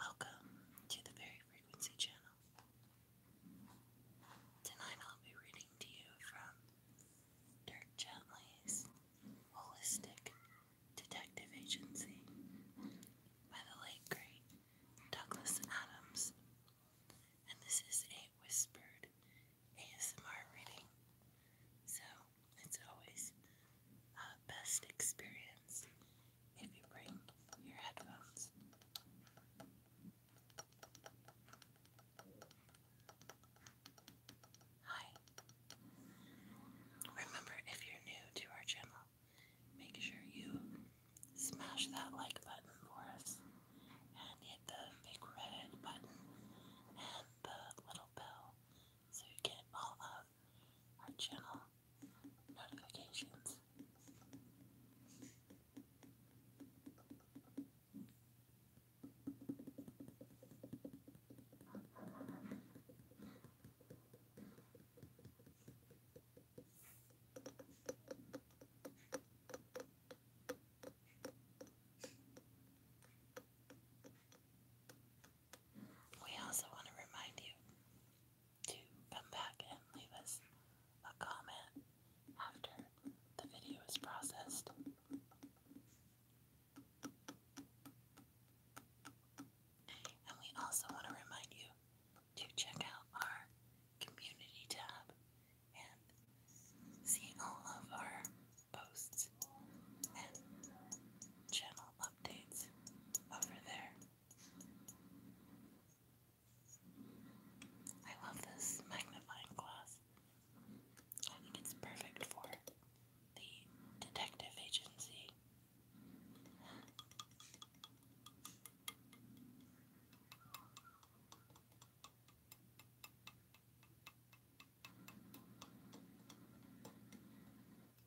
Welcome to the Very Frequency Channel. Tonight I'll be reading to you from Dirk Gently's Holistic Detective Agency by the late great Douglas Adams. And this is a whispered ASMR reading. So it's always best experience if you bring your headphones. Hi. Remember, if you're new to our channel, make sure you smash that like button for us and hit the big red button and the little bell so you get all of our channel notifications. We also want to remind you to come back and leave us a comment after the video is processed. And we also want to remind you to check out our community tab and see all of our posts and channel updates over there. I love this magnifying glass. I think it's perfect for the detective agency. I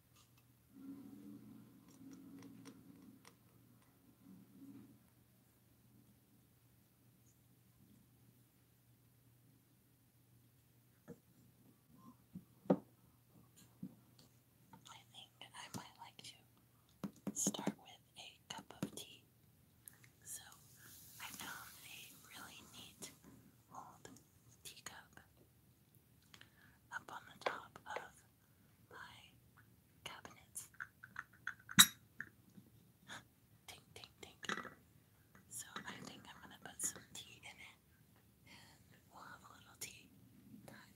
think I might like to start with a cup of tea. So I found a really neat teacup up on the top of my cabinets. tink, tink, tink. So I think I'm gonna put some tea in it and we'll have a little tea time.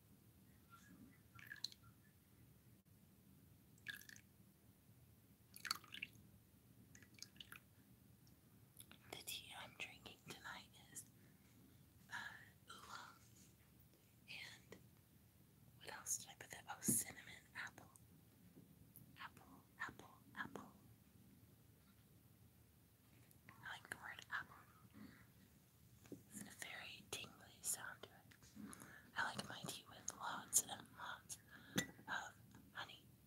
The tea I'm drinking tonight is uh, oolong. And what else did I put there? Oh, cinnamon apple. Apple, apple, apple. I like the apple. It's a very tingly sound to it. I like my tea with lots and lots of honey. I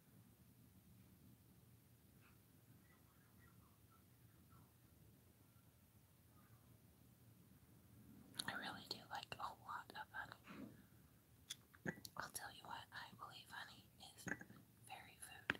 I really do like a lot of honey. I'll tell you what, I believe honey is very food.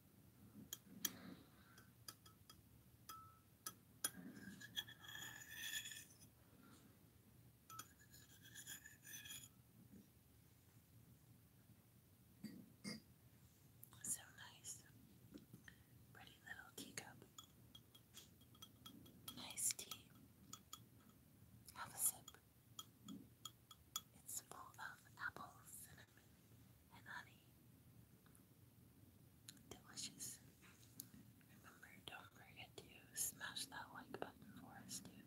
So nice. Pretty little teacup. Nice tea. Have a sip. It's full of apples and honey. Delicious. Remember, don't forget to smash that like button for us too.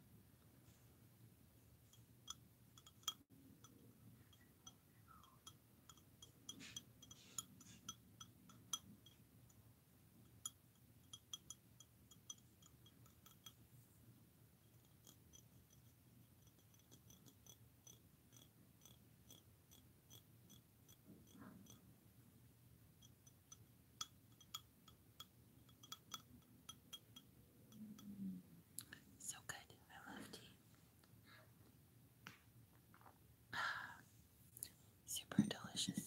So good. I love tea. Super delicious.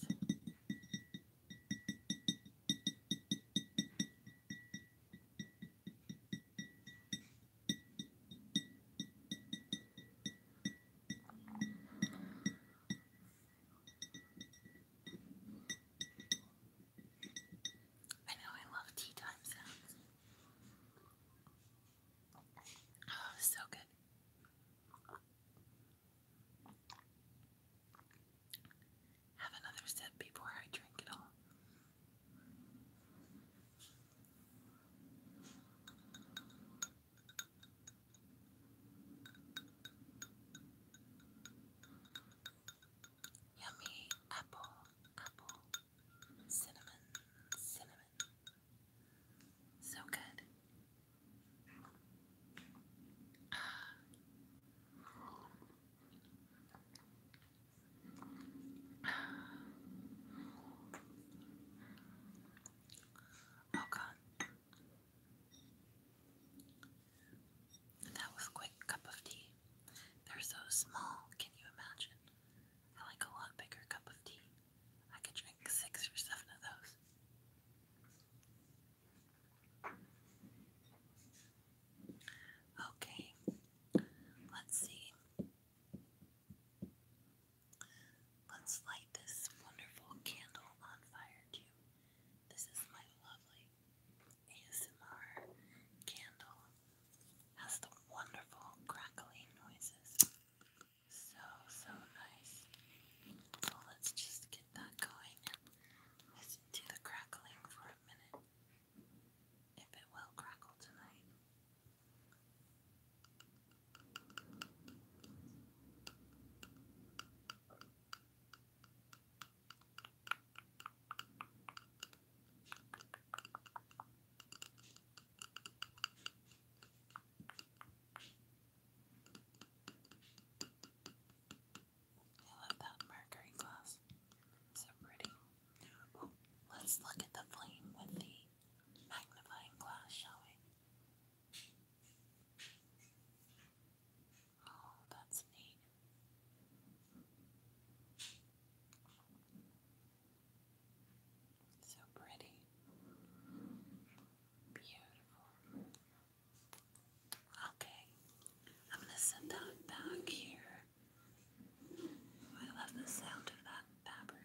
I know I love tea time sounds. Oh, so good. Have another sip before I drink it all. Yummy apple, apple, cinnamon, cinnamon. So good. Ah. Oh God, that was a quick cup of tea. They're so small. Can you imagine? I like a lot bigger cup of tea. I could drink six or seven of those. Okay, let's see. Let's light this wonderful candle on fire, too. This is my lovely ASMR candle. Has the wonderful crackling noises. So, so nice. So let's just get that going listen to the crackling for a minute if it will crackle tonight. I love that mercury glass. so pretty let's look at the flame with the magnifying glass, shall we? Oh, that's neat. So pretty. Beautiful. Okay, I'm going to set that back here I love the sound of that fabric.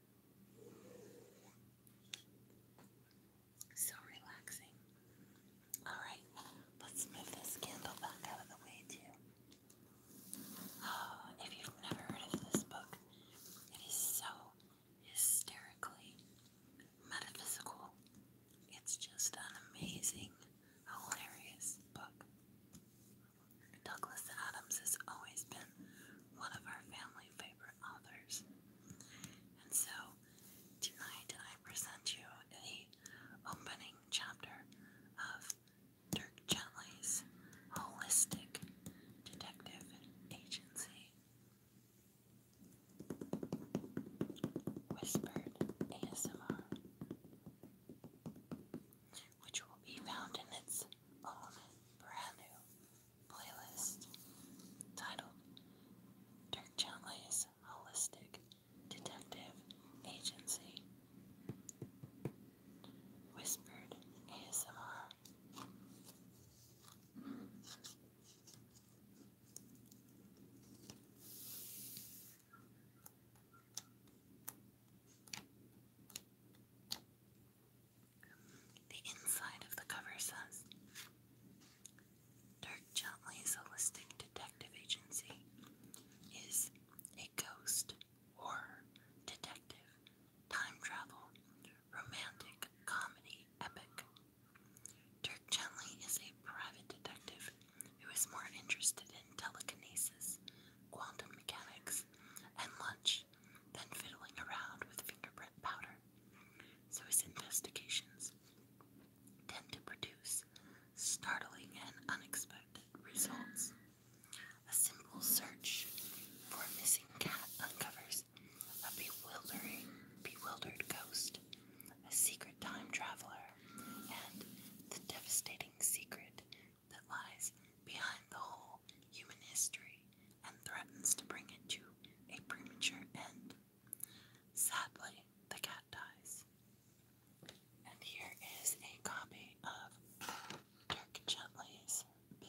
So relaxing. Alright, let's move this candle back out of the way too. Oh, if you've never heard of this book, it is so hysterically metaphysical. It's just an amazing, hilarious book. Douglas Adams has always been one of our family favorite authors. And so tonight I present you the opening chapter of Dirk Gently's Holistic Detective Agency. Whispered ASMR, which will be found in its own brand new playlist titled Dirk Gently's Holistic Detective Agency Whispered ASMR. The inside of the cover says Dirk Gently's Holistic Detective Agency is a ghost, horror, detective, time travel, romantic, comedy, epic. Dirk Gently is a private detective who is more interested in telekinesis, quantum mechanics, and lunch brush, fiddling around with fingerprint powder, so his investigations tend to produce startling and unexpected results. A simple search for a missing cat uncovers a bewildering, bewildered ghost, a secret time traveler, and the devastating secret that lies behind the whole human history and threatens to bring it to a premature end. Sadly, the cat dies. And here is a copy of Dirk Gently's Bill.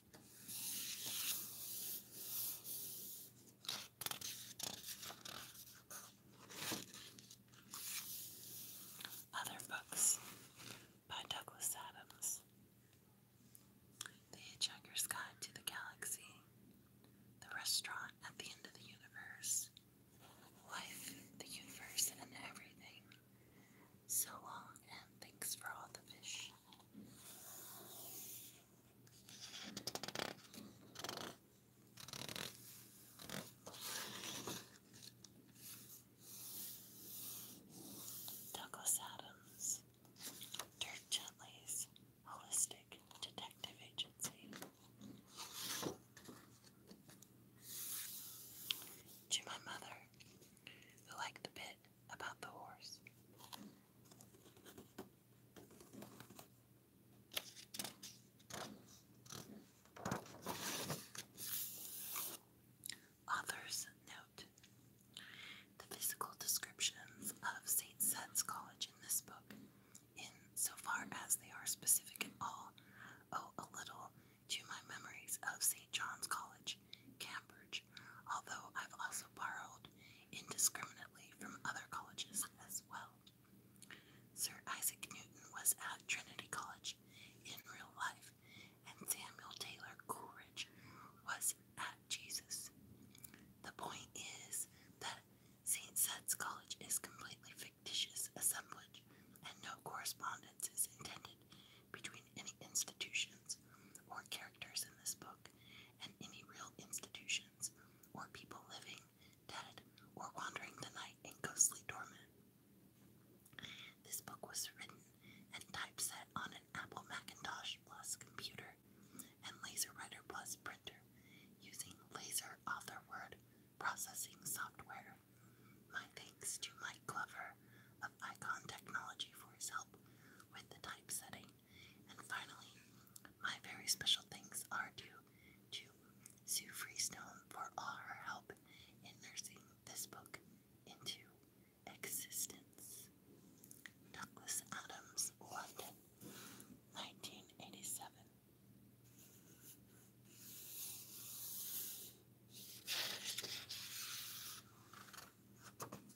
Other books by Douglas Adams The Hitchhiker's Guide to the Galaxy, The Restaurant at the End of the Universe, Life, the Universe, and Everything. So long, and thanks for all the fish. Douglas Adams, Dirk Gently's Holistic Detective Agency. To my mother, who liked the bit about the horse. Author's note. The physical descriptions of St. Set's College in this book, in so far as they are specific at all, owe a little to my memories of St. John's College Cambridge, although I've also borrowed indiscriminately from other colleges as well. Sir Isaac Newton was at Trinity College in real life, and Samuel Taylor Coleridge was at Jesus. The point is that St. Seth's College is completely fictitious assemblage, and no correspondence is intended between any institutions or characters in this book. Facebook, and any real institutions or people living, dead, or wandering the night in ghostly torment. This book was written and typeset on an Apple Macintosh Plus computer and LaserWriter Plus printer using Laser Word processing software. My thanks to Mike Glover of Icon Technology for his help with the typesetting. And finally, my very special thanks are due to Sue Freestone for all her help in nursing this book into existence. Douglas Adams, London,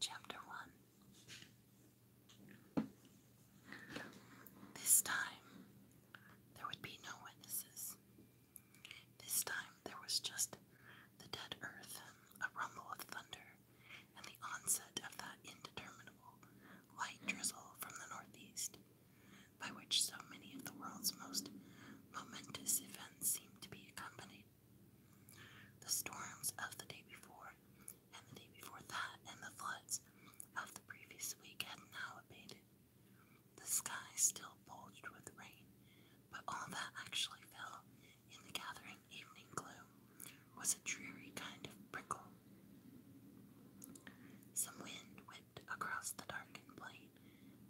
Chapter 1 This time there would be no witnesses. This time there was just the dead earth, a rumble of thunder, and the onset of that indeterminable light drizzle from the northeast, by which so many of the world's most momentous events seem to be accompanied. The storms of the day before, and the day before that, and the floods of the previous week had now abated. The sky still bulged with rain, but all that actually fell in the gathering evening gloom was a dreary kind of prickle. Some wind whipped across the darkened plain,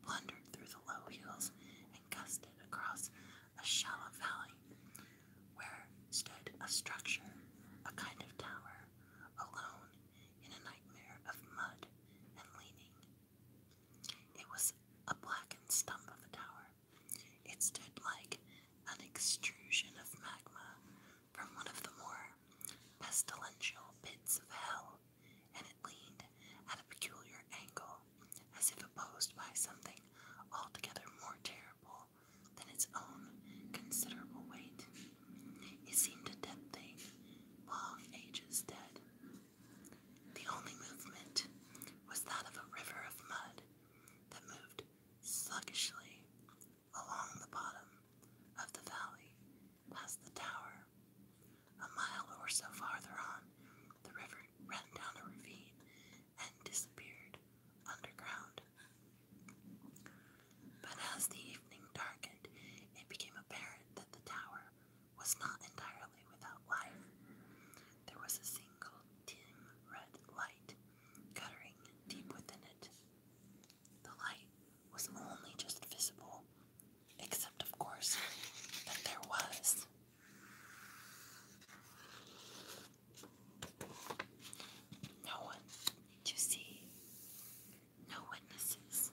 blundered through the low hills, and gusted across a shallow valley where stood a structure, a kind of tower, alone in a nightmare of mud and leaning. It was a blackened stump of a tower, it stood like an extrusion of magma from one of the more pestilential pits of hell, and it leaned at a peculiar angle, as if opposed by something altogether more terrible than its own considerable weight. It seemed a dead thing, long ages dead. The only movement was that of a river of mud that moved sluggishly along the bottom of the valley past the tower. A mile or so farther on, the river ran down a ravine and disappeared underground. But as the evening darkened, it became apparent that the tower was not entirely without life. There was a single dim red light guttering deep within it. The light was only just visible, except, of course, that there was. No one to see, no witnesses,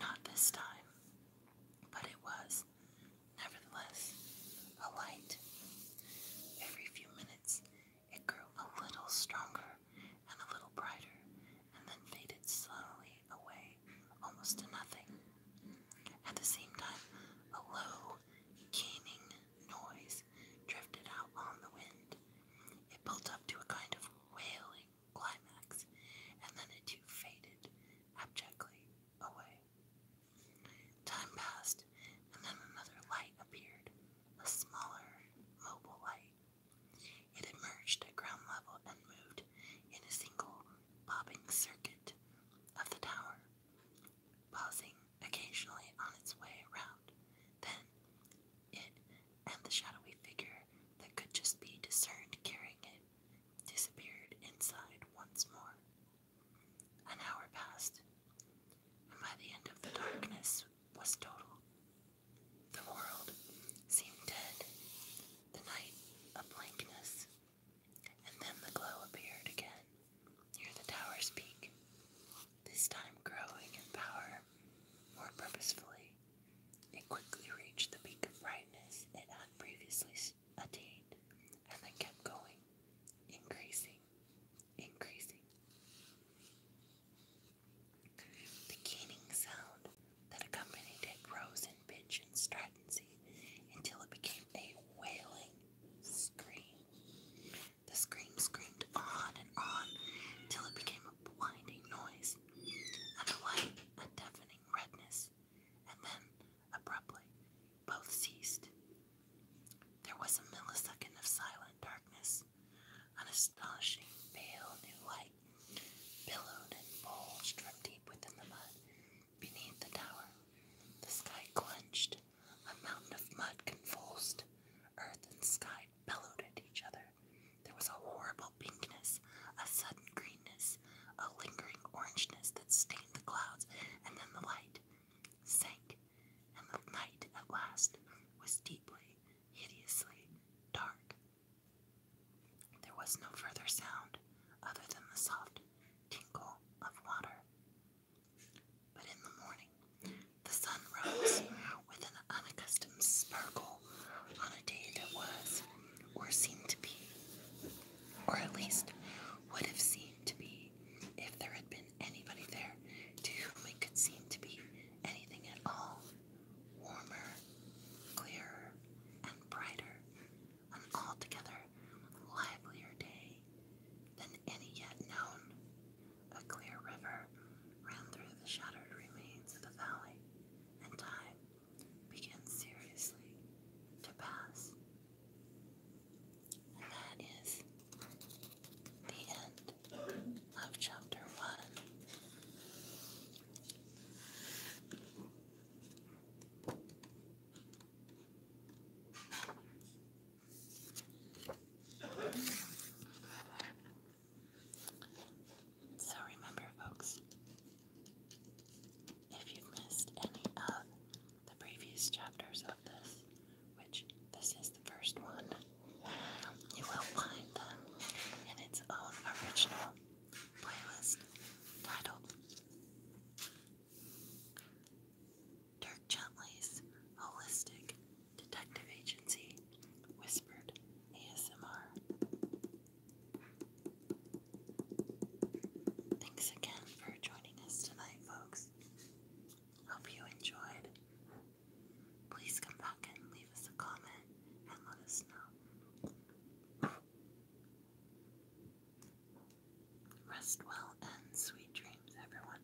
not this time, but it was Nevertheless, a light. Every few minutes, it grew a little stronger and a little brighter, and then faded slowly away, almost to nothing. At the same time, a low, keening noise drifted out on the wind. It built up to a kind of wailing climax, and then it faded abjectly away. Time passed, and then another light appeared, a smaller, mobile light. It emerged at ground level and moved in a single bobbing circuit of the tower, pausing occasionally on its way around. Then, it and the shadowy figure that could just be discerned carrying it disappeared inside once more. An hour passed, and by the end of the darkness was total. The world seemed dead, the night a blankness, and then the glow appeared again near the tower's peak, this time growing in power more purposefully. It quickly reached the peak of brightness it had previously seen attained, and then kept going, increasing, increasing. The keening sound that accompanied it rose in pitch and stringency until it became a wailing scream. The scream screamed on and on till it became a blinding noise, and a light, a deafening redness and then, abruptly, both ceased. There was a millisecond of silent darkness. An astonishing, pale new light billowed and bulged from deep within the mud beneath the tower. The sky clenched, a mountain of mud convulsed, earth and sky bellowed at each other. There was a horrible pinkness, a sudden greenness, a lingering orangeness that stained the clouds and then the light sank, and the night at last was deeply, hideously dark. There was no further sound other than the soft tinkle of water. But in the morning, the sun rose with an unaccustomed sparkle on a day that was, or seemed to be, or at least would have seemed to be, if there had been anybody there to whom it could seem to be anything at all, warmer, clearer, and brighter, an altogether livelier day than any yet known. A clear river ran through the shattered remains of the valley, and time began seriously to pass. And that is the end of chapter one. So remember, folks, if you've missed any of the previous chapters of this, which this is the first one, you will find them in its own original playlist titled Dirk Gently's Holistic Detective Agency Whispered ASMR. Thanks again for joining us tonight, folks. Hope you enjoyed. Please come back and leave us a comment and let us know. Rest well and sweet dreams, everyone.